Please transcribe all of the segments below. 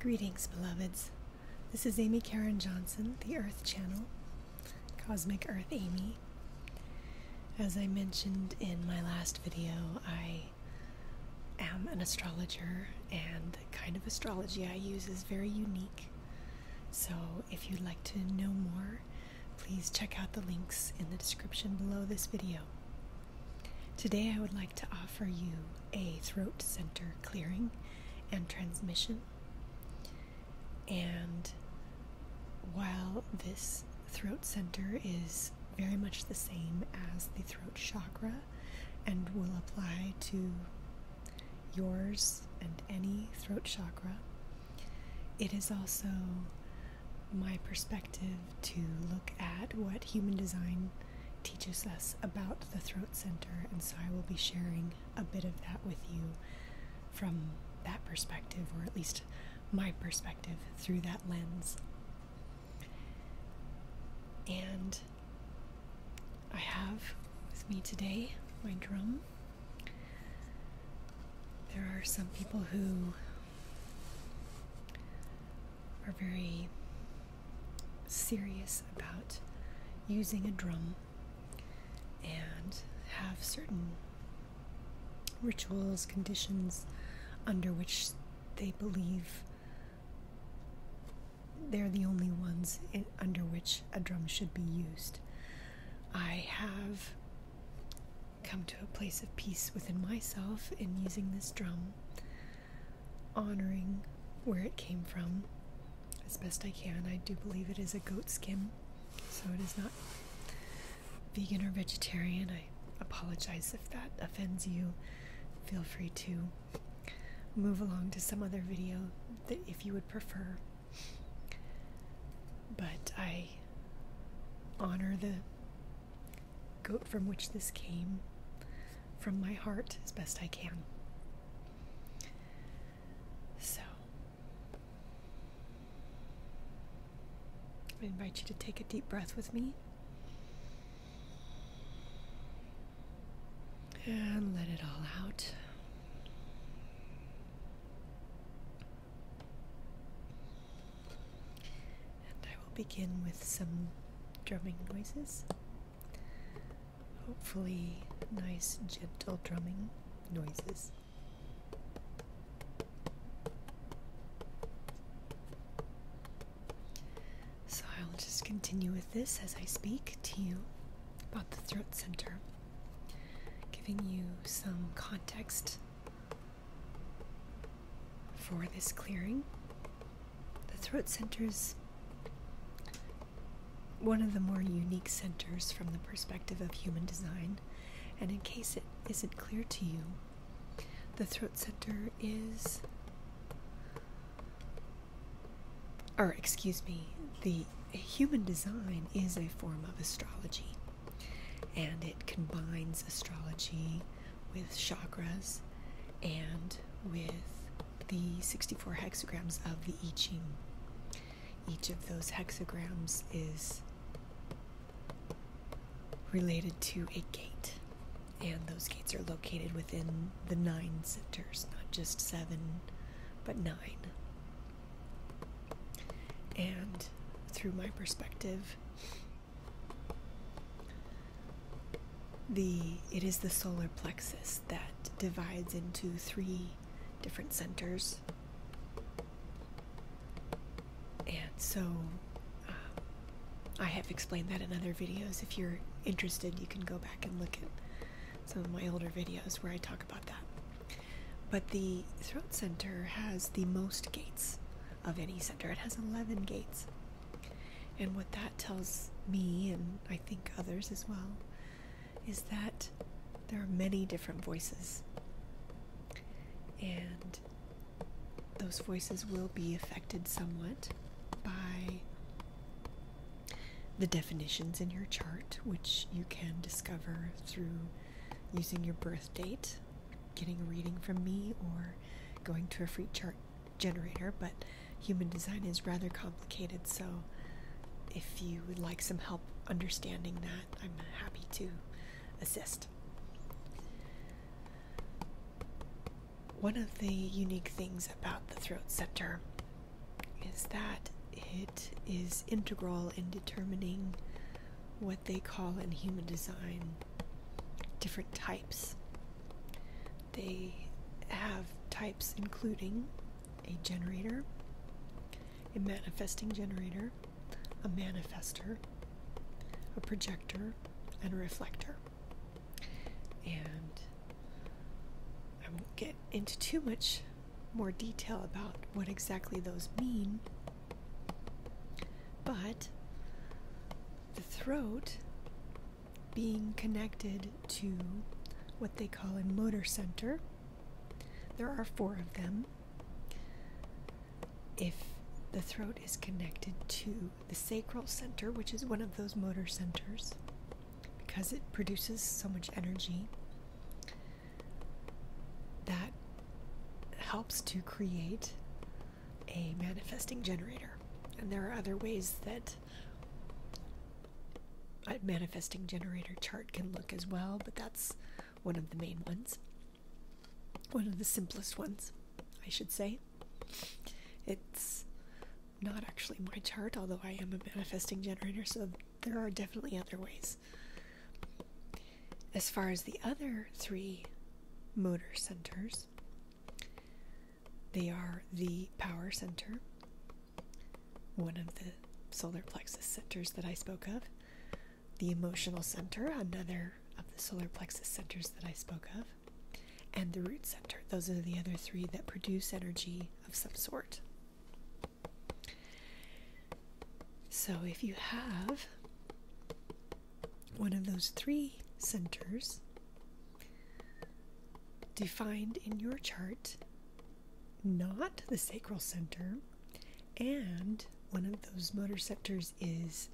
Greetings, beloveds. This is Amy Karen Johnson, the Earth Channel, Cosmic Earth Amy. As I mentioned in my last video, I am an astrologer, and the kind of astrology I use is very unique. So, if you'd like to know more, please check out the links in the description below this video. Today, I would like to offer you a throat center clearing and transmission. And while this throat center is very much the same as the throat chakra and will apply to yours and any throat chakra, it is also my perspective to look at what human design teaches us about the throat center, and so I will be sharing a bit of that with you from that perspective, or at least my perspective through that lens. And I have with me today my drum. There are some people who are very serious about using a drum and have certain rituals, conditions under which they believe they're the only ones under which a drum should be used. I have come to a place of peace within myself in using this drum honoring where it came from as best I can. I do believe it is a goat skin, so it is not vegan or vegetarian. I apologize if that offends you. Feel free to move along to some other video if you would prefer. But I honor the go from which this came from my heart as best I can. So I invite you to take a deep breath with me and let it all out. And I will begin with some drumming noises. Hopefully, nice, gentle drumming noises. So I'll just continue with this as I speak to you about the throat center, giving you some context for this clearing. The throat center is one of the more unique centers from the perspective of human design, and in case it isn't clear to you, the throat center is. Or, excuse me, the human design is a form of astrology, and it combines astrology with chakras and with the 64 hexagrams of the I Ching. Each of those hexagrams is related to a gate, and those gates are located within the nine centers, not just seven, but nine. And through my perspective, the it is the solar plexus that divides into three different centers, and so uh, I have explained that in other videos. If you're interested, you can go back and look at some of my older videos where I talk about that. But the throat center has the most gates of any center. It has 11 gates. And what that tells me, and I think others as well, is that there are many different voices. And those voices will be affected somewhat by the definitions in your chart, which you can discover through using your birth date getting a reading from me or going to a free chart generator, but human design is rather complicated, so if you would like some help understanding that, I'm happy to assist. One of the unique things about the throat center is that it is integral in determining what they call in human design different types. They have types including a generator, a manifesting generator, a manifestor, a projector, and a reflector. And I won't get into too much more detail about what exactly those mean but the throat being connected to what they call a motor center, there are four of them. If the throat is connected to the sacral center, which is one of those motor centers, because it produces so much energy, that helps to create a manifesting generator. And there are other ways that a manifesting generator chart can look as well, but that's one of the main ones. One of the simplest ones, I should say. It's not actually my chart, although I am a manifesting generator, so there are definitely other ways. As far as the other three motor centers, they are the power center, one of the solar plexus centers that I spoke of, the emotional center, another of the solar plexus centers that I spoke of, and the root center. Those are the other three that produce energy of some sort. So if you have one of those three centers defined in your chart, not the sacral center, and one of those motor centers is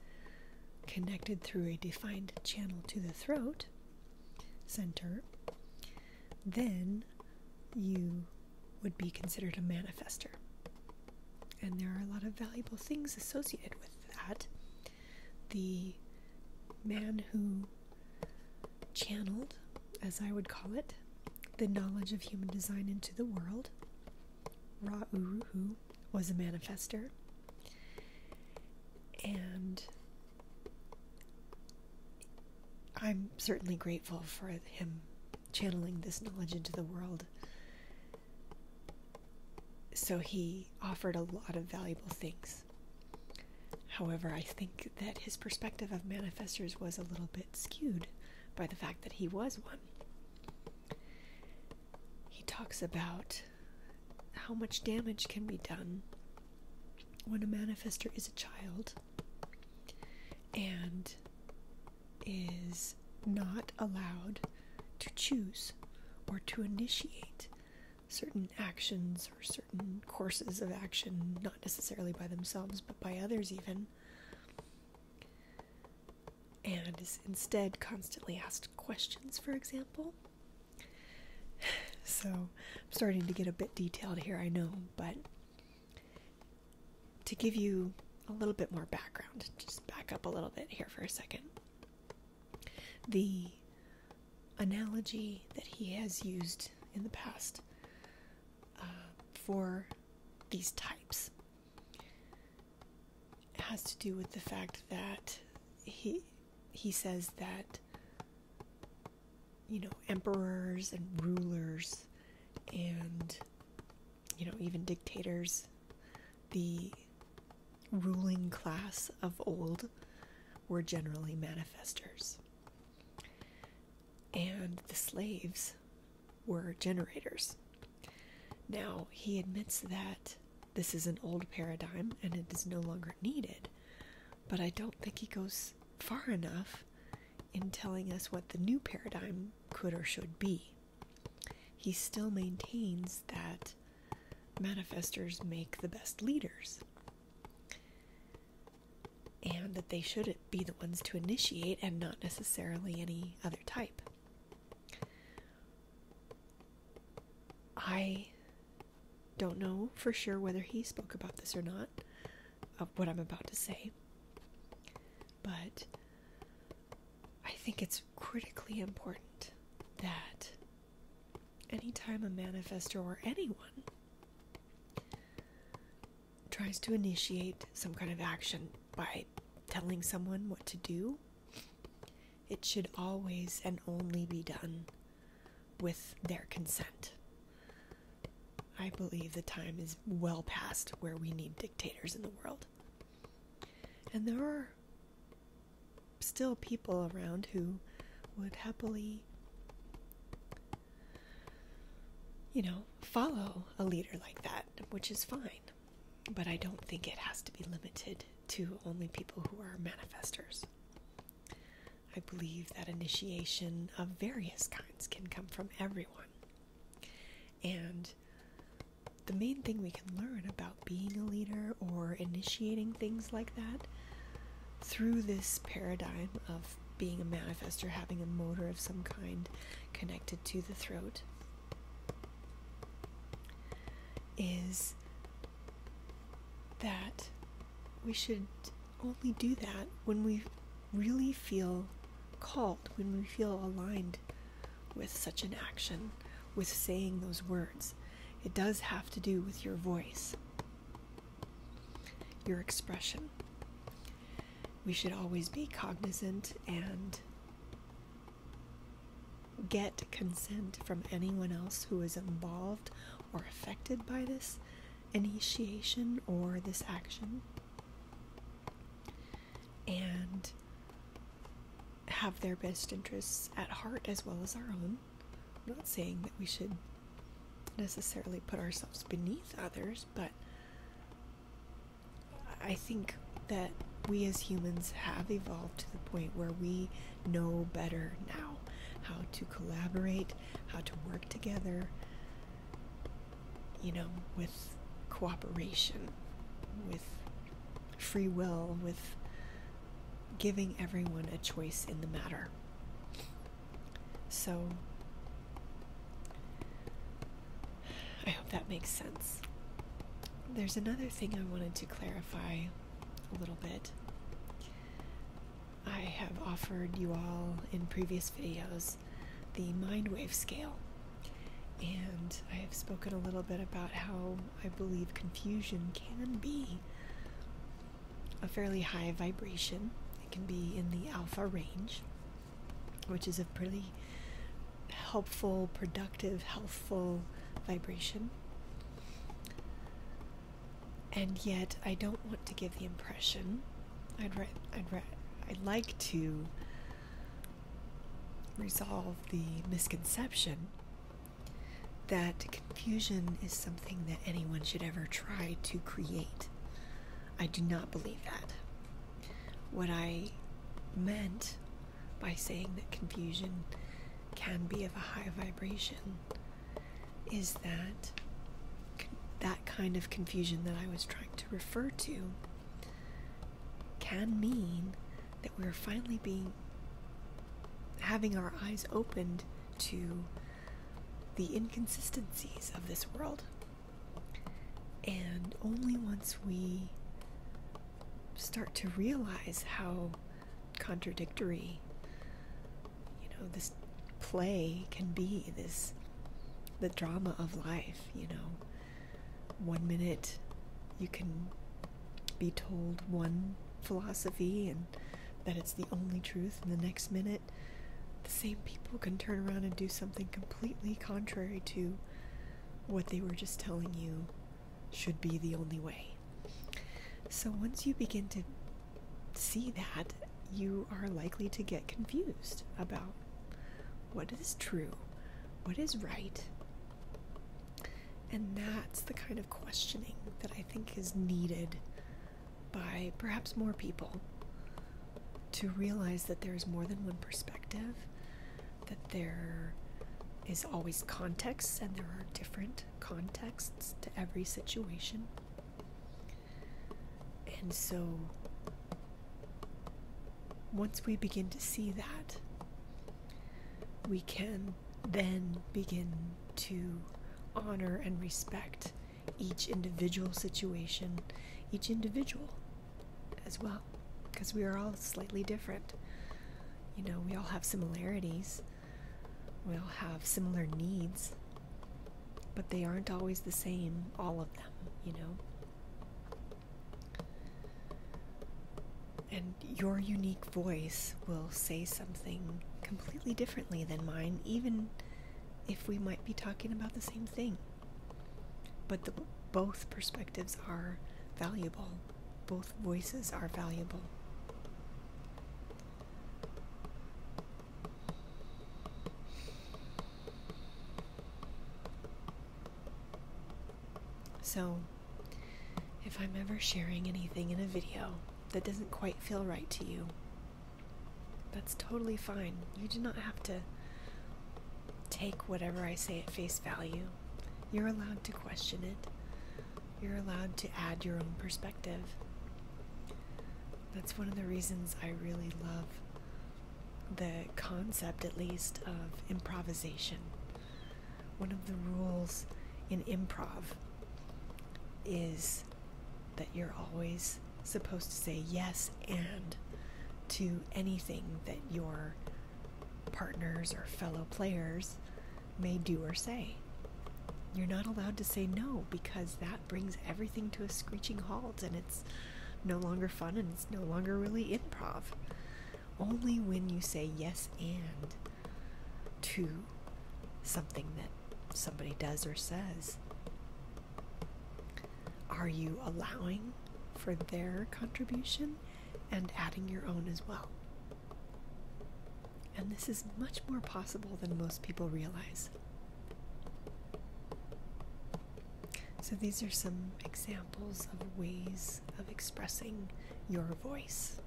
connected through a defined channel to the throat center, then you would be considered a manifester and there are a lot of valuable things associated with that. The man who channeled, as I would call it, the knowledge of human design into the world, Ra Uruhu, was a manifester. And I'm certainly grateful for him channeling this knowledge into the world. So he offered a lot of valuable things. However, I think that his perspective of manifestors was a little bit skewed by the fact that he was one. He talks about how much damage can be done when a manifester is a child and is not allowed to choose or to initiate certain actions or certain courses of action, not necessarily by themselves, but by others, even. And is instead constantly asked questions, for example. So I'm starting to get a bit detailed here, I know, but to give you a little bit more background, just back up a little bit here for a second. The analogy that he has used in the past uh, for these types has to do with the fact that he he says that you know emperors and rulers and you know, even dictators, the ruling class of old were generally manifesters, And the slaves were generators. Now, he admits that this is an old paradigm and it is no longer needed, but I don't think he goes far enough in telling us what the new paradigm could or should be he still maintains that manifesters make the best leaders and that they should be the ones to initiate and not necessarily any other type. I don't know for sure whether he spoke about this or not, of what I'm about to say but I think it's critically important that anytime a manifester or anyone tries to initiate some kind of action by telling someone what to do, it should always and only be done with their consent. I believe the time is well past where we need dictators in the world. And there are still people around who would happily, you know, follow a leader like that, which is fine. But I don't think it has to be limited to only people who are manifestors. I believe that initiation of various kinds can come from everyone. And the main thing we can learn about being a leader or initiating things like that through this paradigm of being a manifestor, having a motor of some kind connected to the throat, is that we should only do that when we really feel called, when we feel aligned with such an action, with saying those words. It does have to do with your voice, your expression. We should always be cognizant and get consent from anyone else who is involved or affected by this initiation or this action and have their best interests at heart as well as our own. not saying that we should necessarily put ourselves beneath others, but I think that we as humans have evolved to the point where we know better now how to collaborate, how to work together, you know, with cooperation, with free will, with giving everyone a choice in the matter. So, I hope that makes sense. There's another thing I wanted to clarify a little bit. I have offered you all in previous videos the mind wave scale. And I have spoken a little bit about how I believe confusion can be a fairly high vibration. It can be in the alpha range, which is a pretty helpful, productive, healthful vibration. And yet, I don't want to give the impression. I'd, I'd, I'd like to resolve the misconception that confusion is something that anyone should ever try to create. I do not believe that. What I meant by saying that confusion can be of a high vibration is that that kind of confusion that I was trying to refer to can mean that we're finally being having our eyes opened to the inconsistencies of this world. And only once we start to realize how contradictory you know this play can be this the drama of life, you know one minute you can be told one philosophy and that it's the only truth, and the next minute the same people can turn around and do something completely contrary to what they were just telling you should be the only way. So once you begin to see that, you are likely to get confused about what is true, what is right. And that's the kind of questioning that I think is needed by perhaps more people to realize that there is more than one perspective, that there is always context, and there are different contexts to every situation. And so, once we begin to see that, we can then begin to honor and respect each individual situation, each individual as well, because we are all slightly different. You know, we all have similarities, we all have similar needs, but they aren't always the same, all of them, you know. And your unique voice will say something completely differently than mine, even if we might be talking about the same thing. But both perspectives are valuable, both voices are valuable. So, if I'm ever sharing anything in a video that doesn't quite feel right to you, that's totally fine. You do not have to take whatever I say at face value. You're allowed to question it, you're allowed to add your own perspective. That's one of the reasons I really love the concept, at least, of improvisation. One of the rules in improv is that you're always supposed to say yes and to anything that your partners or fellow players may do or say. You're not allowed to say no because that that brings everything to a screeching halt and it's no longer fun and it's no longer really improv. Only when you say yes and to something that somebody does or says are you allowing for their contribution and adding your own as well. And this is much more possible than most people realize. So, these are some examples of ways of expressing your voice.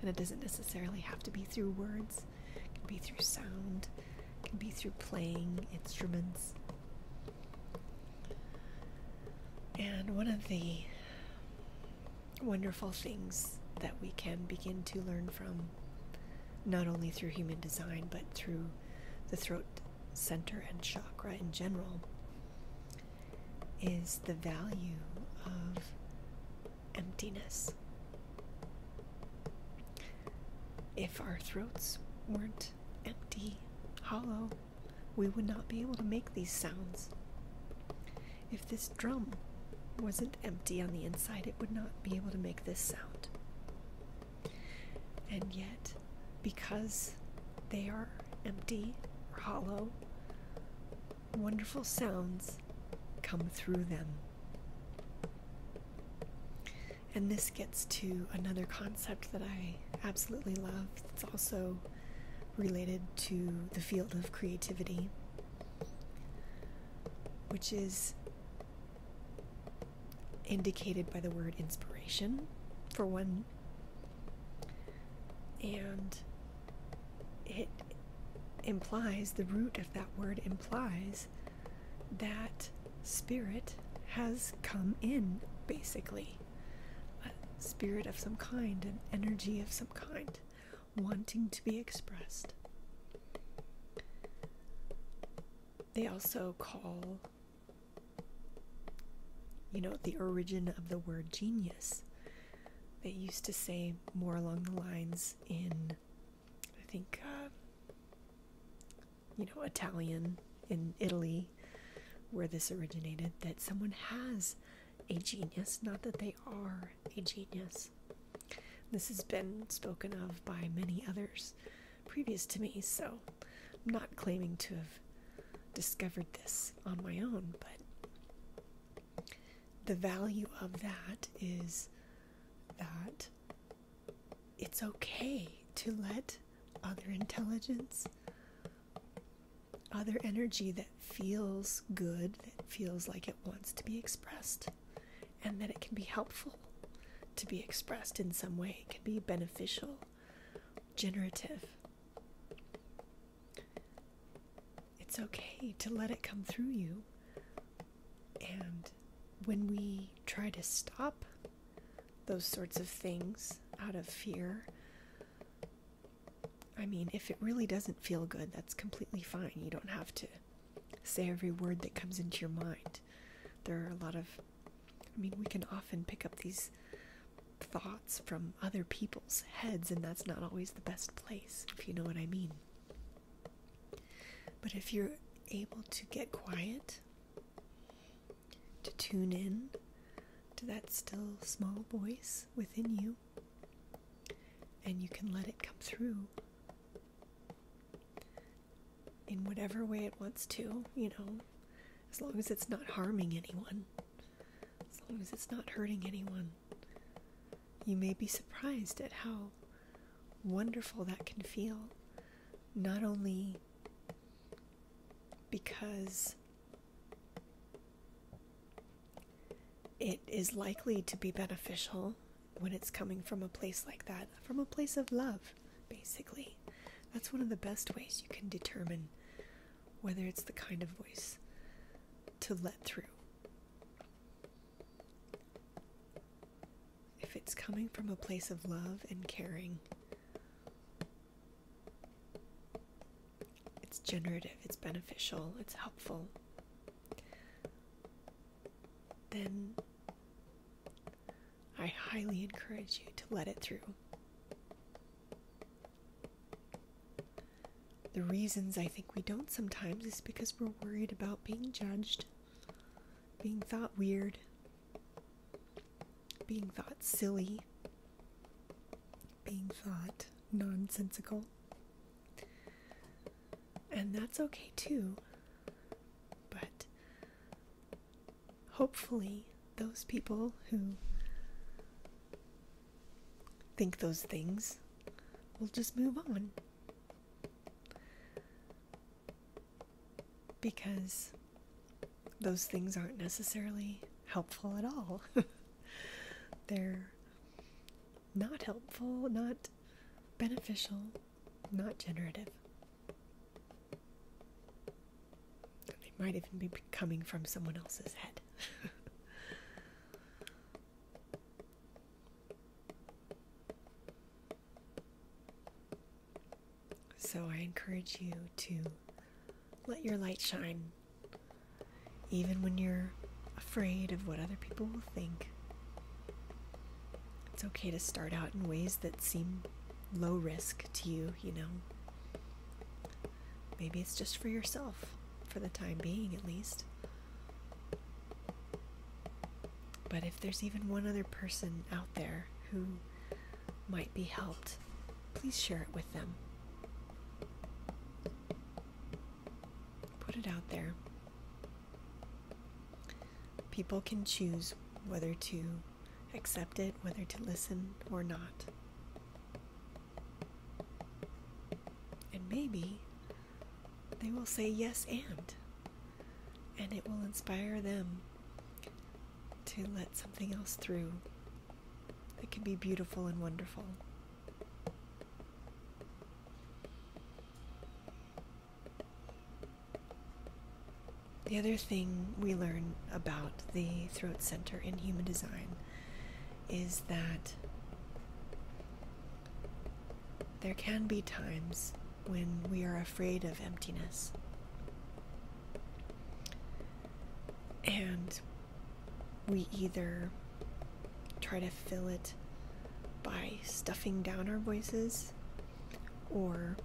And it doesn't necessarily have to be through words, it can be through sound, it can be through playing instruments. And one of the wonderful things that we can begin to learn from, not only through human design, but through the throat center and chakra in general is the value of emptiness. If our throats weren't empty, hollow, we would not be able to make these sounds. If this drum wasn't empty on the inside, it would not be able to make this sound. And yet, because they are empty or hollow, wonderful sounds come through them. And this gets to another concept that I absolutely love. It's also related to the field of creativity, which is indicated by the word inspiration, for one. And it implies, the root of that word implies that spirit has come in, basically. A spirit of some kind, an energy of some kind, wanting to be expressed. They also call, you know, the origin of the word genius. They used to say more along the lines in, I think, uh, you know, Italian in Italy, where this originated, that someone has a genius, not that they are a genius. This has been spoken of by many others previous to me, so I'm not claiming to have discovered this on my own, but the value of that is that it's okay to let other intelligence, other energy that feels good, that feels like it wants to be expressed, and that it can be helpful to be expressed in some way. It can be beneficial, generative. It's okay to let it come through you. And when we try to stop those sorts of things out of fear, I mean, if it really doesn't feel good, that's completely fine. You don't have to say every word that comes into your mind. There are a lot of, I mean, we can often pick up these thoughts from other people's heads, and that's not always the best place, if you know what I mean. But if you're able to get quiet, to tune in to that still small voice within you, and you can let it come through in whatever way it wants to, you know, as long as it's not harming anyone, as long as it's not hurting anyone. You may be surprised at how wonderful that can feel, not only because it is likely to be beneficial when it's coming from a place like that, from a place of love, basically. That's one of the best ways you can determine whether it's the kind of voice to let through. If it's coming from a place of love and caring, it's generative, it's beneficial, it's helpful then I highly encourage you to let it through. The reasons I think we don't sometimes is because we're worried about being judged, being thought weird, being thought silly, being thought nonsensical. And that's okay too. But hopefully, those people who think those things will just move on. Because those things aren't necessarily helpful at all. They're not helpful, not beneficial, not generative. It might even be coming from someone else's head. so I encourage you to let your light shine, even when you're afraid of what other people will think. It's okay to start out in ways that seem low risk to you, you know. Maybe it's just for yourself, for the time being at least. But if there's even one other person out there who might be helped, please share it with them. Put it out there. People can choose whether to accept it, whether to listen or not. And maybe they will say yes and, and it will inspire them to let something else through that can be beautiful and wonderful. The other thing we learn about the throat center in human design is that there can be times when we are afraid of emptiness. And we either try to fill it by stuffing down our voices, or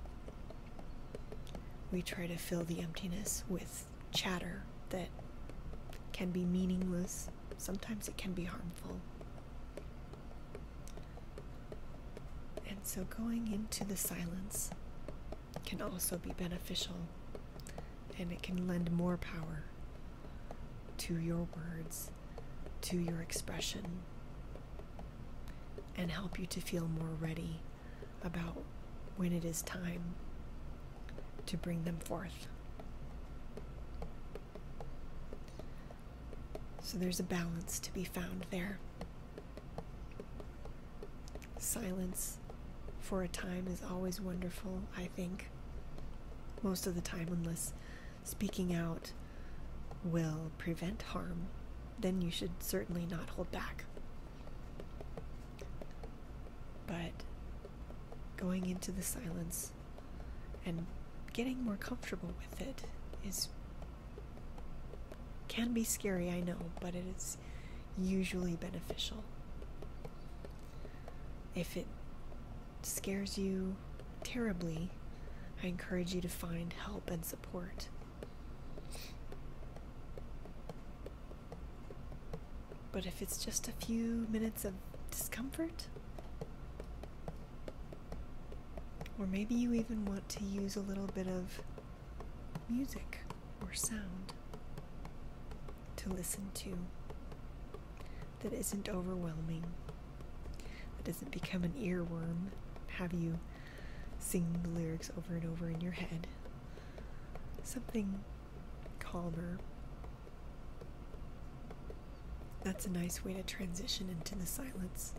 we try to fill the emptiness with chatter that can be meaningless, sometimes it can be harmful. And so, going into the silence can also be beneficial and it can lend more power to your words to your expression and help you to feel more ready about when it is time to bring them forth. So there's a balance to be found there. Silence for a time is always wonderful, I think. Most of the time, unless speaking out will prevent harm, then you should certainly not hold back. But going into the silence and getting more comfortable with it is can be scary, I know, but it is usually beneficial. If it scares you terribly, I encourage you to find help and support. But if it's just a few minutes of discomfort, or maybe you even want to use a little bit of music or sound to listen to, that isn't overwhelming, that doesn't become an earworm, have you singing the lyrics over and over in your head. Something calmer. That's a nice way to transition into the silence,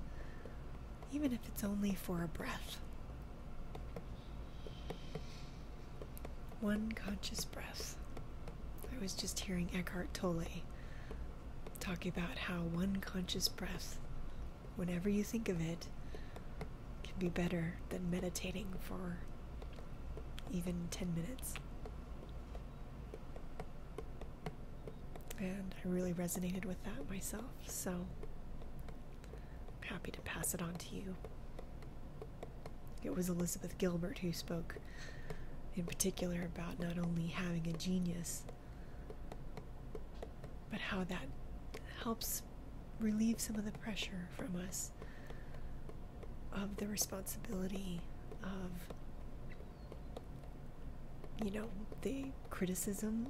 even if it's only for a breath. One conscious breath I was just hearing Eckhart Tolle talk about how one conscious breath, whenever you think of it, can be better than meditating for even 10 minutes. And I really resonated with that myself, so I'm happy to pass it on to you. It was Elizabeth Gilbert who spoke in particular about not only having a genius, but how that helps relieve some of the pressure from us of the responsibility of, you know, the criticism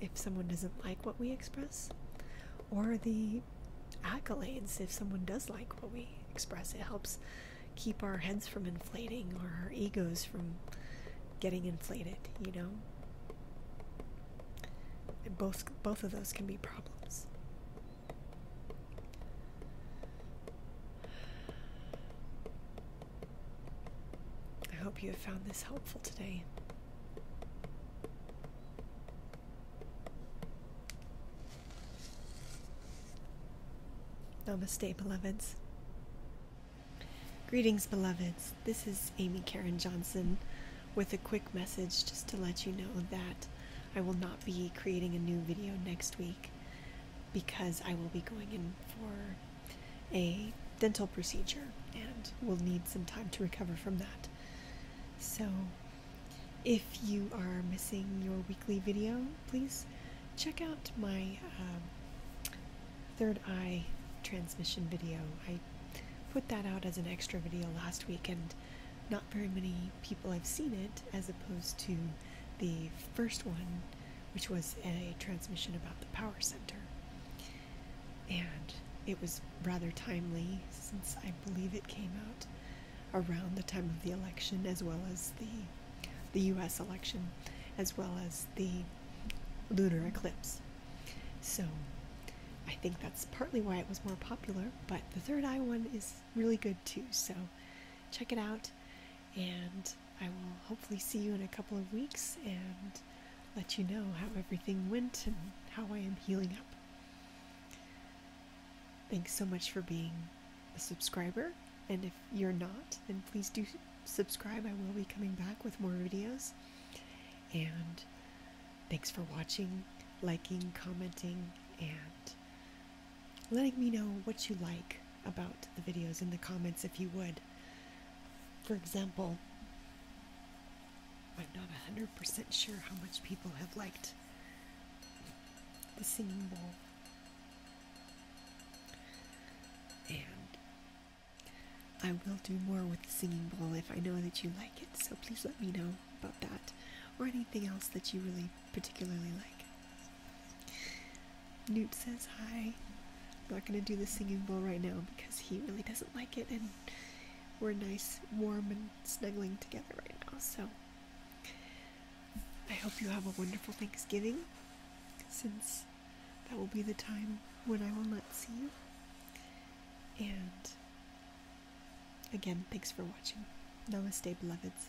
if someone doesn't like what we express, or the accolades if someone does like what we express. It helps keep our heads from inflating or our egos from getting inflated, you know? both both of those can be problems. I hope you have found this helpful today. Namaste, beloveds. Greetings, beloveds. This is Amy Karen Johnson with a quick message just to let you know that I will not be creating a new video next week because I will be going in for a dental procedure and will need some time to recover from that. So, if you are missing your weekly video, please check out my um, third eye transmission video. I put that out as an extra video last week, and not very many people have seen it, as opposed to the first one, which was a transmission about the power center. And it was rather timely since I believe it came out around the time of the election, as well as the the U.S. election, as well as the lunar eclipse. So I think that's partly why it was more popular. But the third eye one is really good too. So check it out, and I will hopefully see you in a couple of weeks and let you know how everything went and how I am healing up. Thanks so much for being a subscriber, and if you're not, then please do subscribe. I will be coming back with more videos. And thanks for watching, liking, commenting, and letting me know what you like about the videos in the comments if you would. For example, I'm not 100% sure how much people have liked the singing bowl and I will do more with the singing bowl if I know that you like it, so please let me know about that or anything else that you really particularly like. Newt says hi. I'm not going to do the singing bowl right now because he really doesn't like it and we're nice, warm, and snuggling together right now, so I hope you have a wonderful Thanksgiving, since that will be the time when I will not see you. And again, thanks for watching. stay, beloveds.